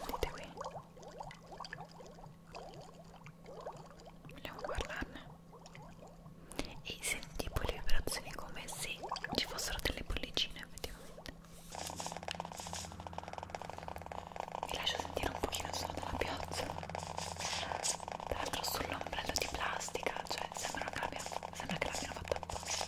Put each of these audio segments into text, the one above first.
Vedete qui? Vogliamo parlarne? E senti poi le vibrazioni come se ci fossero delle bollicine effettivamente. Vi lascio sentire un pochino solo della piazza tra l'altro sull'ombrello di plastica cioè sembra che l'abbiano fatto apposta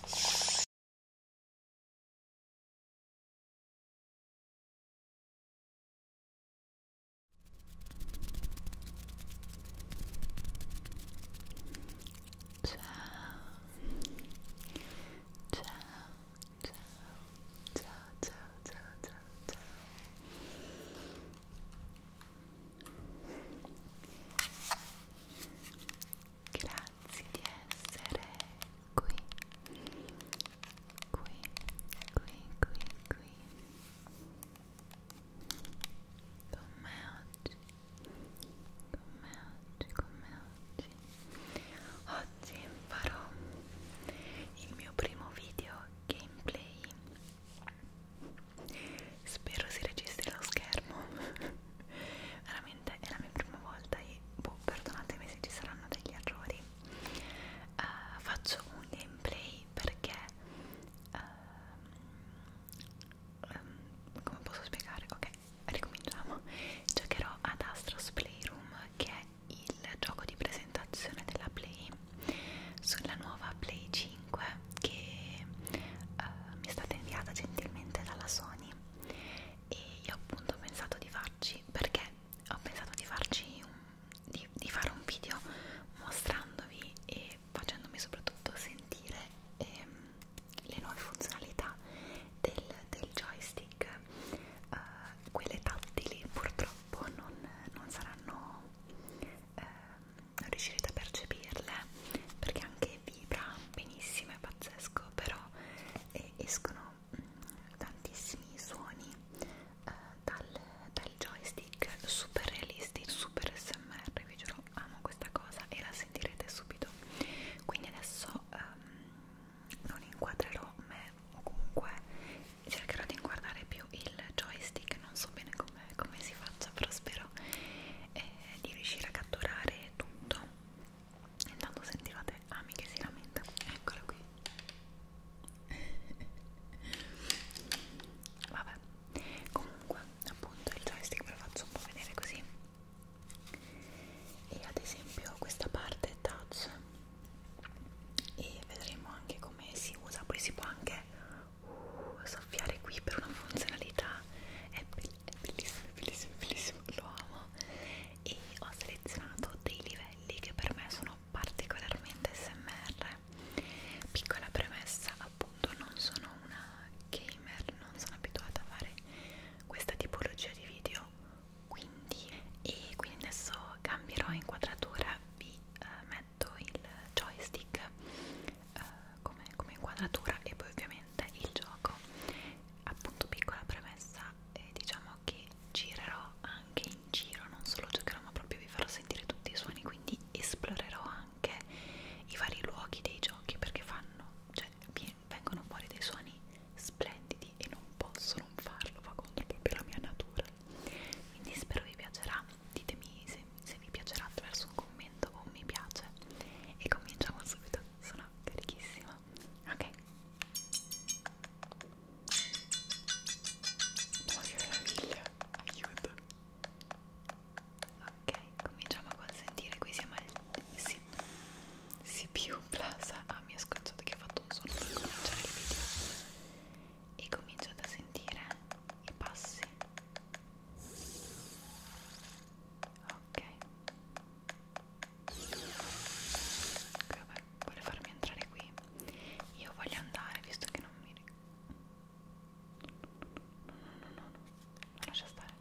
Ciao, ciao, ciao, ciao, ciao, ciao, ciao, ciao. Grazie di essere qui, qui, qui, qui, qui con me oggi, con me oggi, con me oggi oggi farò il mio primo video gameplay spero si registri lo schermo veramente è la mia prima volta e boh, perdonatemi se ci saranno degli errori uh, faccio un gameplay perché uh, um, come posso spiegare? ok, ricominciamo giocherò ad Astros Playroom che è il gioco di presenza presentazione della Play sulla nuova Play 5 che uh, mi è stata inviata gentilmente dalla Sony e io appunto ho pensato di farci perché ho pensato di farci un, di, di fare un video mostrandovi e facendomi soprattutto sentire ehm, le nuove funzionalità del, del joystick uh, quelle tattili purtroppo non, non saranno eh, non riuscirete a percepirle perché anche vibra benissimo, è pazzesco, però eh, escono mh, mm, tantissimi suoni eh, dal, dal joystick super realistici, super smr, vi giuro amo questa cosa e la sentirete subito. Quindi adesso ehm, non inquadrerò me o comunque cercherò di guardare più il joystick non so bene come com si faccia però spero eh, di riuscire a catturare tutto intanto sentivate Ami che si lamenta eccolo qui vabbè comunque appunto il joystick ve lo faccio un po' vedere così e ad esempio questa parte touch e vedremo anche come si usa poi si può anche uh, soffiare qui per una funzionalità è, be è bellissimo bellissimo bellissimo lo amo e ho selezionato dei livelli che per me sono particolarmente smr piccola premessa appunto non sono una gamer non sono abituata a fare questa tipologia di video quindi e quindi adesso cambierò inquadratura vi eh, metto il joystick eh, come, come inquadratura e poi ovviamente il gioco appunto piccola premessa eh, diciamo che girerò anche in giro non solo giocherò ma proprio vi farò sentire tutti i suoni quindi esplorerò anche i vari luoghi dei giochi perché fanno cioè vengono fuori dei suoni splendidi e non posso non farlo va contro proprio la mia natura farlo quindi spero vi piacerà ditemi se, se vi piacerà attraverso un commento o un mi piace e cominciamo subito sono carichissima ok ma che meraviglia aiuto ok cominciamo a consentire qui siamo al sì. CPU Plaza ah mi ha scocciato che ha fatto un suono per cominciare il video e cominciate a sentire i passi ok vabbè vuole farmi entrare qui io voglio andare visto che non mi no no no no no non lascia stare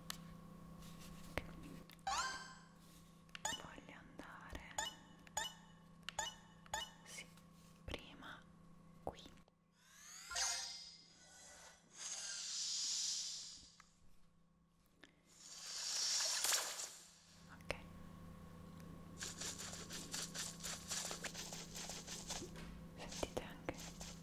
okay. voglio andare sì prima qui ok sentite anche ok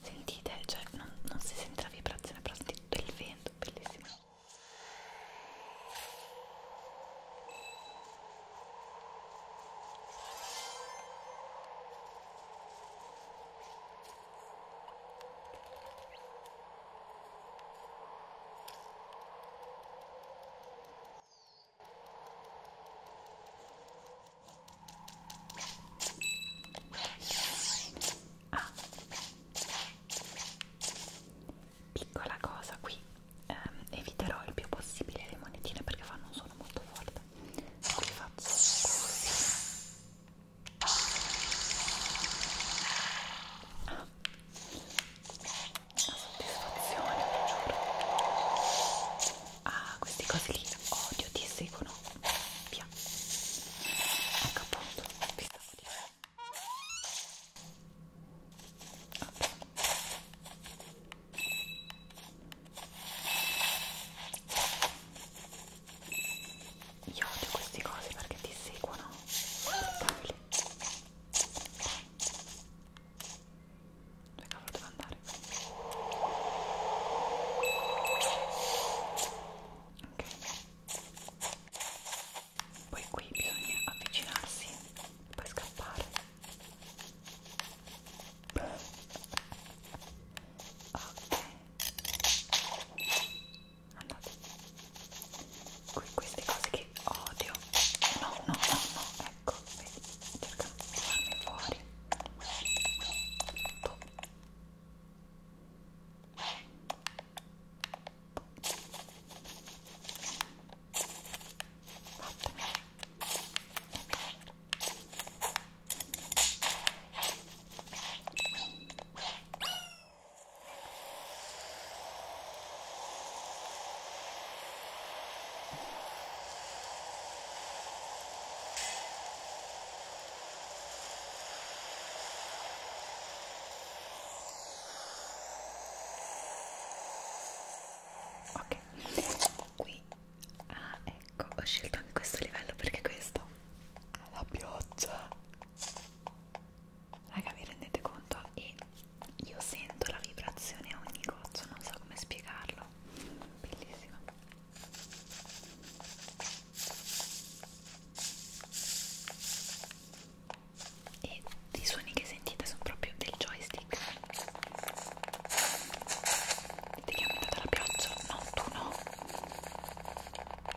Sentite, cioè non, non si sente la vibrazione, però sentite tutto il vento, bellissimo. Ah. Piccola cosa qui, eh, eviterò il più possibile le monetine perché non sono molto forte. Qui faccio così Ah. La soddisfazione, vi giuro. Ah, queste cose lì odio, ti seguono. Via. Ecco appunto, vi stavo dicendo. Okay. Io odio queste cose perché ti seguono. Pavoli. Dove cavolo devo andare? Ok. Poi qui bisogna avvicinarsi e poi scappare. Ok. Andate. Qui, queste cose che odio. No, no, no, no. Ecco, vedi, cercano di farmi fuori. Tutto. Vattene. Ok, qui ah, ecco, ho scelto anche questo livello perché questo è la pioggia raga vi rendete conto? E io sento la vibrazione a ogni goccia, non so come spiegarlo, bellissimo. E i suoni che sentite sono proprio del joystick. Vedete che è aumentata la pioggia? No, tu no.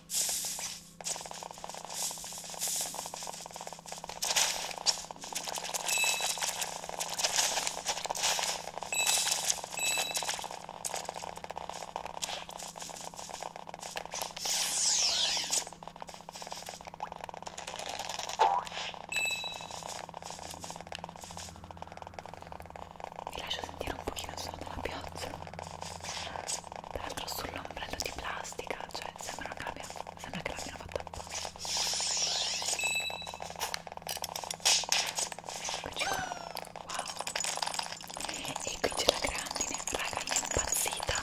Vi lascio sentire un pochino solo della pioggia. Tra l'altro sul ombrello di plastica, cioè sembra che l'abbia fatta apposta. Eccoci qua. Wow. E qui c'è la grandine, raga, è impazzita.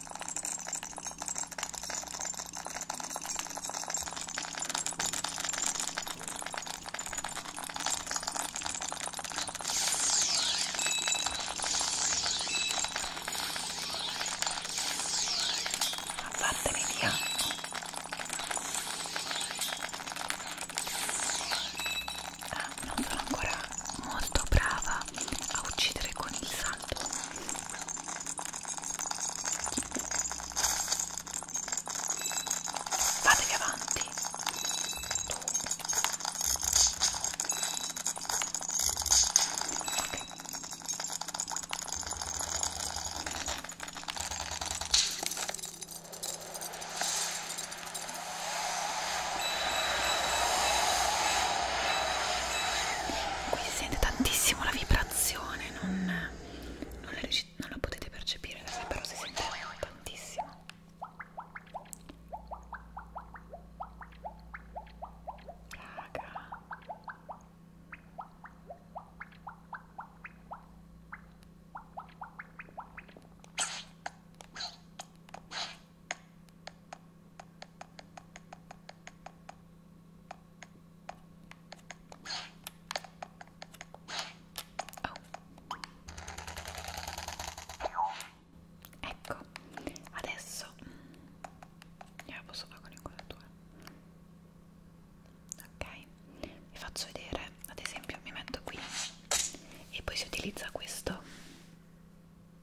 Fatemi via. Ah, non sono ancora molto brava a uccidere con il salto fatevi avanti ok qui si sente tantissimo la vibrazione non, non, la, non la potete percepire però si sente tantissimo raga Oh. Ecco, adesso io la posso fare con l'inquadratura. Ok, vi faccio vedere, ad esempio mi metto qui e poi si utilizza questo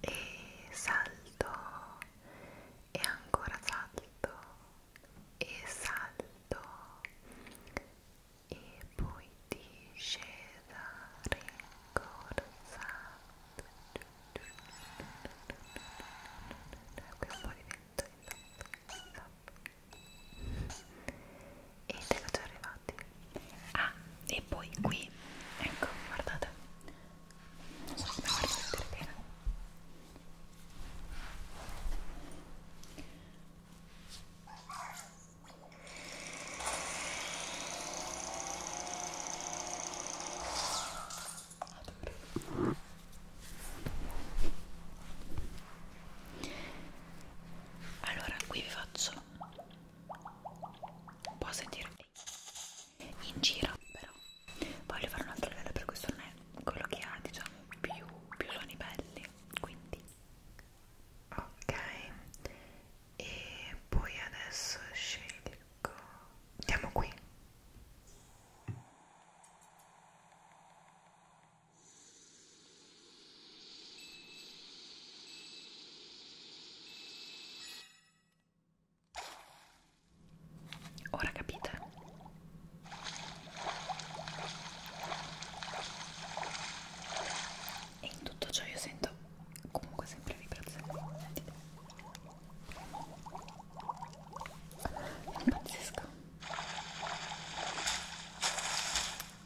e salto e ancora salto e salto e poi discesa rincorsa qui un po' di vento in top, in top ed ero già arrivati ah e poi qui ecco guardate non so come guardate bene allora qui vi faccio un po' sentire in giro però voglio fare un altro livello per questo non è quello che ha diciamo più, più suoni belli quindi ok e poi adesso scelgo andiamo qui Ora capite? E in tutto ciò io sento comunque sempre vibrazioni. Sentite. È pazzesco.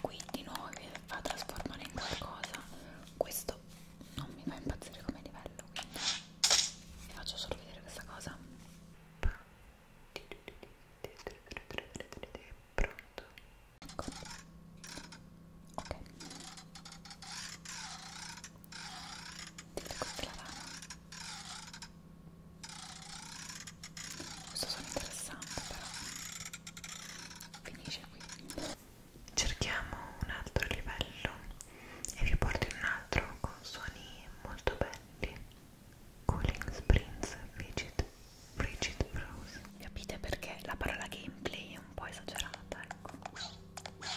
qui di nuovo vi va a trasformare in qualcosa questo non mi fa impazzire come livello quindi vi faccio solo vedere questa cosa pronto ecco ok vedete questa è la rana questo sono interessante però finisce qui cerchiamo un altro livello e vi porto in un altro con suoni molto belli Cooling Springs Frigid Frigid Frozen capite perché la parola gameplay è un po' esagerata ecco Via.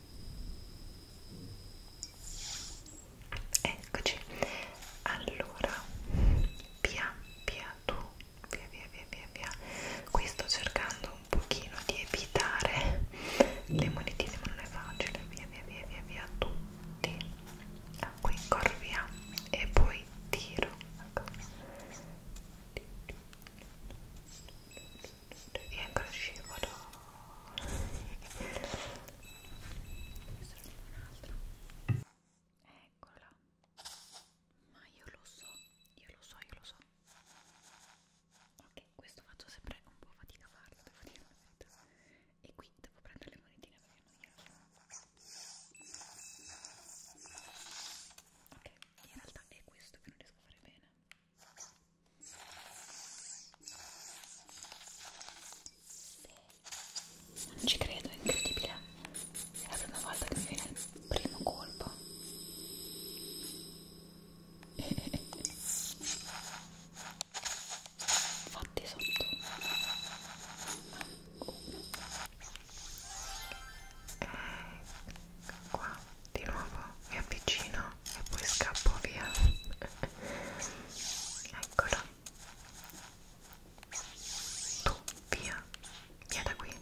eccoci allora via via tu via via via via via qui sto cercando un pochino di evitare le monetine ma non è facile via via via via via tutti ah, qui corro via e poi tiro ecco e ancora scivolo eccola ma io lo so io lo so io lo so ok questo faccio sempre un po' fatica a farlo devo dire la verità e qui devo prendere le monetine perché non glielo ok in realtà è questo che non riesco a fare bene non ci credo, è incredibile. È la prima volta che mi viene il primo colpo. Fatti sotto. Qua di nuovo mi avvicino e poi scappo via eccolo tu via via da qui e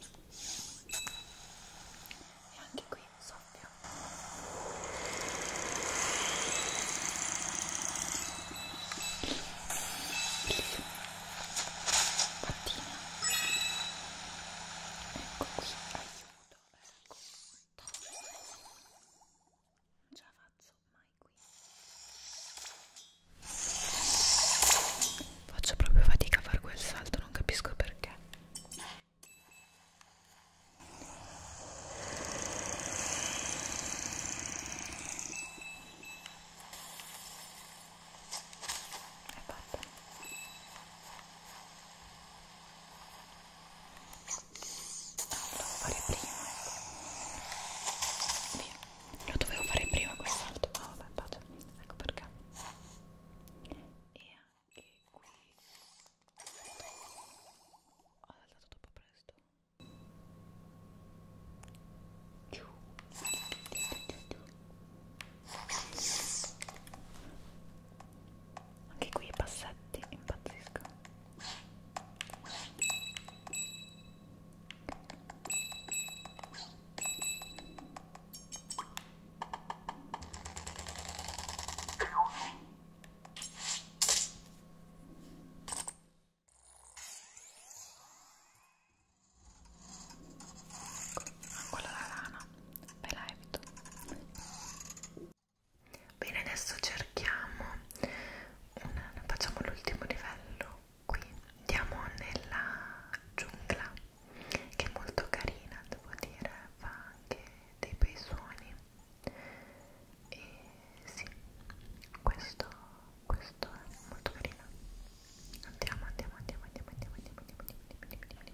anche qui soffio mattina ecco qui aiuto non ce ecco. la faccio mai qui faccio proprio fatica a fare quel salto non capisco perché è fatta lo devo fare prima. Ecco. Via. Lo dovevo fare prima quest'altro. Ma oh, vabbè, pace. Ecco perché. E anche qui. Ho saltato troppo presto. Giù. Giù, giù, giù anche qui i passetti impazziscono ancora la lana ve la evito bene adesso cerchiamo una, facciamo l'ultimo livello qui andiamo nella giungla che è molto carina devo dire fa anche dei bei suoni e sì questo questo è molto carino andiamo andiamo andiamo andiamo andiamo andiamo andiamo andiamo andiamo andiamo andiamo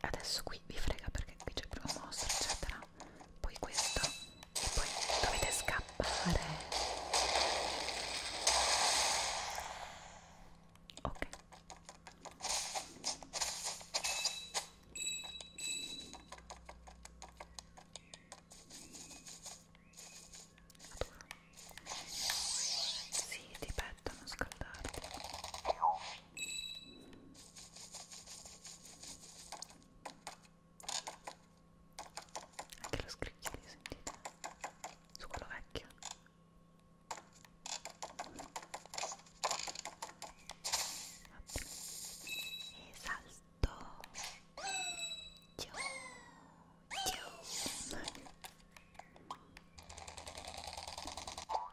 poi adesso qui vi frega perché qui c'è il primo mostro eccetera poi questo e poi dovete scappare ok Adoro. Sì, ti petto, non scaldarti. Anche lo scricchiolio, sentite? Su quello vecchio. Vabbè. E salto. Ciao. Ciao.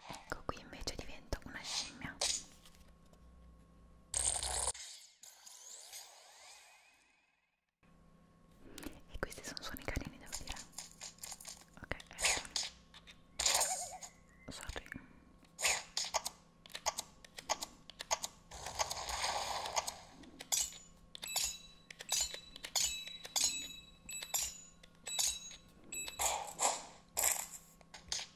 Ecco qui invece divento una scimmia e questi sono suoni carini, devo dire. Ok, adesso. Ecco. Sorry.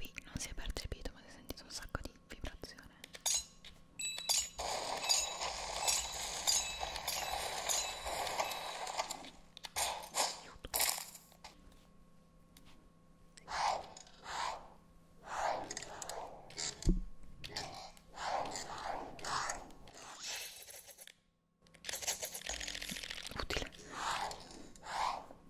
qui non si è percepito ma si è sentito un sacco di vibrazione Aiuto. Utile.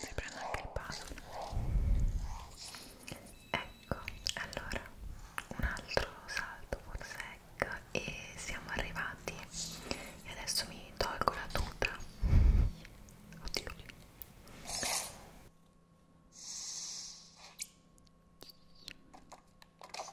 si prende anche il puzzle ecco allora un altro salto forse ecco, e siamo arrivati e adesso mi tolgo la tuta oddio Via caro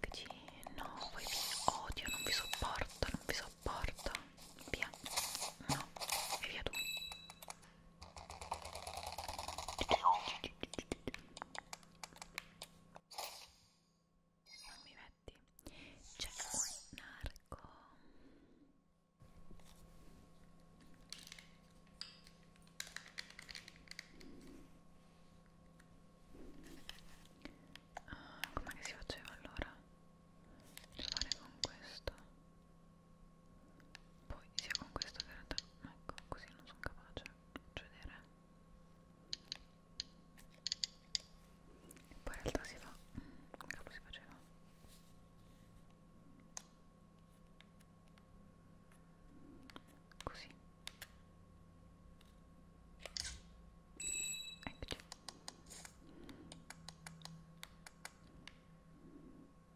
Eccoci, no, voi vi odio, non vi sopporto, non vi sopporto. Via, no, e via tu. Non mi metti. C'è un narco. Ah, com'è che si faceva allora? Devo fare con questo poi sia con questo che in realtà ecco così non sono capace faccio vedere poi in realtà si fa capo si faceva così eccoci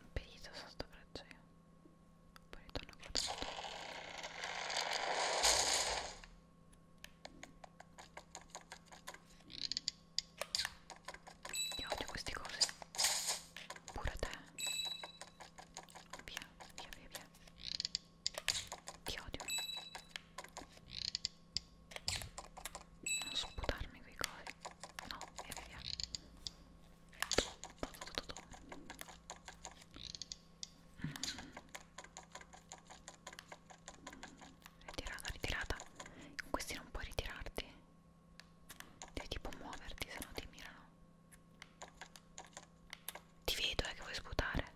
un pedito sotto braccio poi ritorno a guardare io odio queste cose pure te Via, via, via, via. Ti odio. Non sputarmi quei cori. No, via, via, via. Ritirata, ritirata. Con questi non puoi ritirarti. Devi tipo muoverti, se no ti mirano. Ti vedo, eh, che vuoi sputare.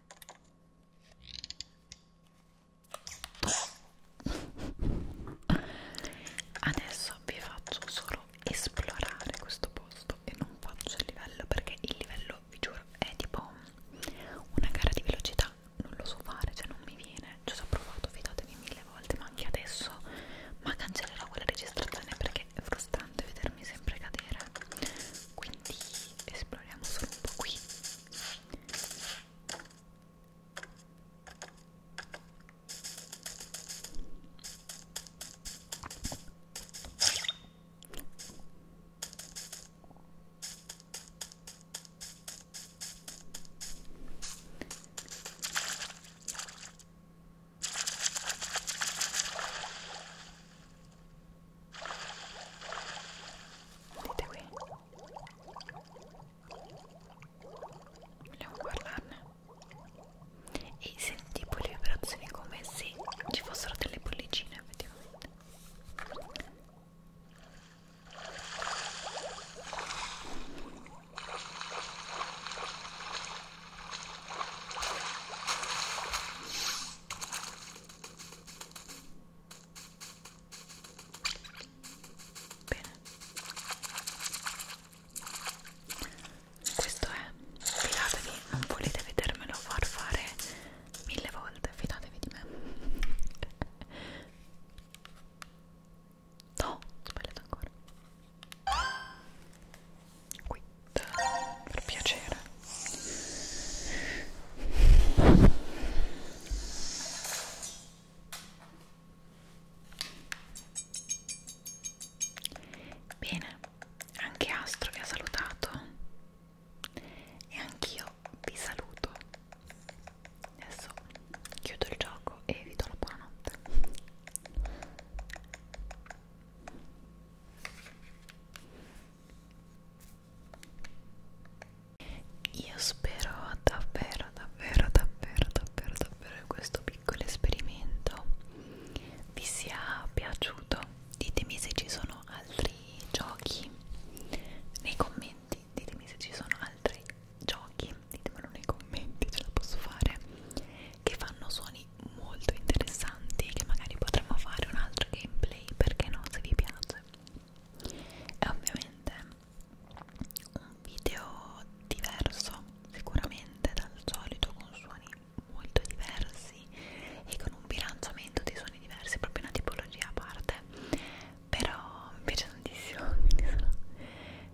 Adesso vi faccio solo esplorare questo posto e non faccio il livello perché il livello, vi giuro, è tipo una gara di velocità. Non lo so fare, cioè non mi viene. Ci ho provato, fidatevi mille mille volte ma anche adesso ma cancellerò quella registrazione perché è frustrante vedermi sempre cadere quindi esploriamo solo un po' qui Vedete qui? Vogliamo parlarne? E senti poi le vibrazioni come se ci fossero delle bollicine effettivamente. Bene. Questo è, fidatevi, non volete vedermelo far fare mille volte, fidatevi di me. No, ho sbagliato ancora. Qui, per piacere. Bene, anche Astro vi ha salutato e anch'io vi saluto. Adesso chiudo il gioco e vi do la buonanotte. Io spero davvero, davvero, davvero, davvero, davvero che questo piccolo esperimento vi sia piaciuto. Ditemi se ci sono altri giochi nei commenti, ditemi se ci sono altri giochi, ditemelo nei commenti, ce la posso fare, che fanno suoni molto interessanti, che magari potremmo fare un altro gameplay, perché no, se vi piace. E ovviamente un video diverso, sicuramente dal solito, con suoni molto diversi e con un bilanciamento di suoni diversi, proprio una tipologia a parte, però mi piace tantissimo, quindi sono,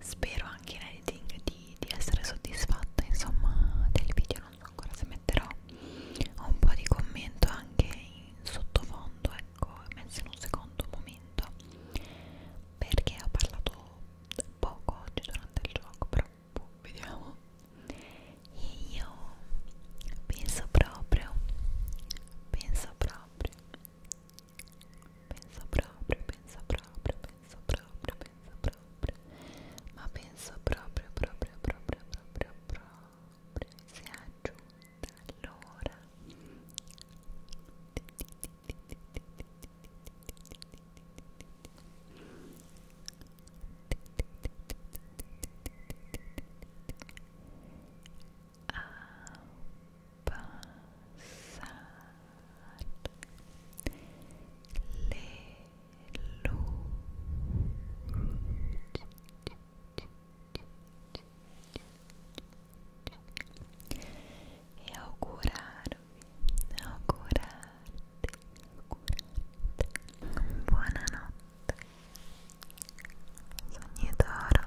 spero anche in editing di, di essere soddisfatta insomma del video non so ancora se metterò un po' di commento anche in sottofondo ecco messo in un secondo momento perché ho parlato poco oggi durante il gioco però boh, vediamo e io penso proprio penso proprio Pensa proprio, pensa proprio, pensa proprio, pensa proprio. Ma penso proprio, proprio, proprio, proprio, proprio. Si è aggiunta allora. Ah, passare le luci e augurarvi, augurarti, augurarti buonanotte sogni d'oro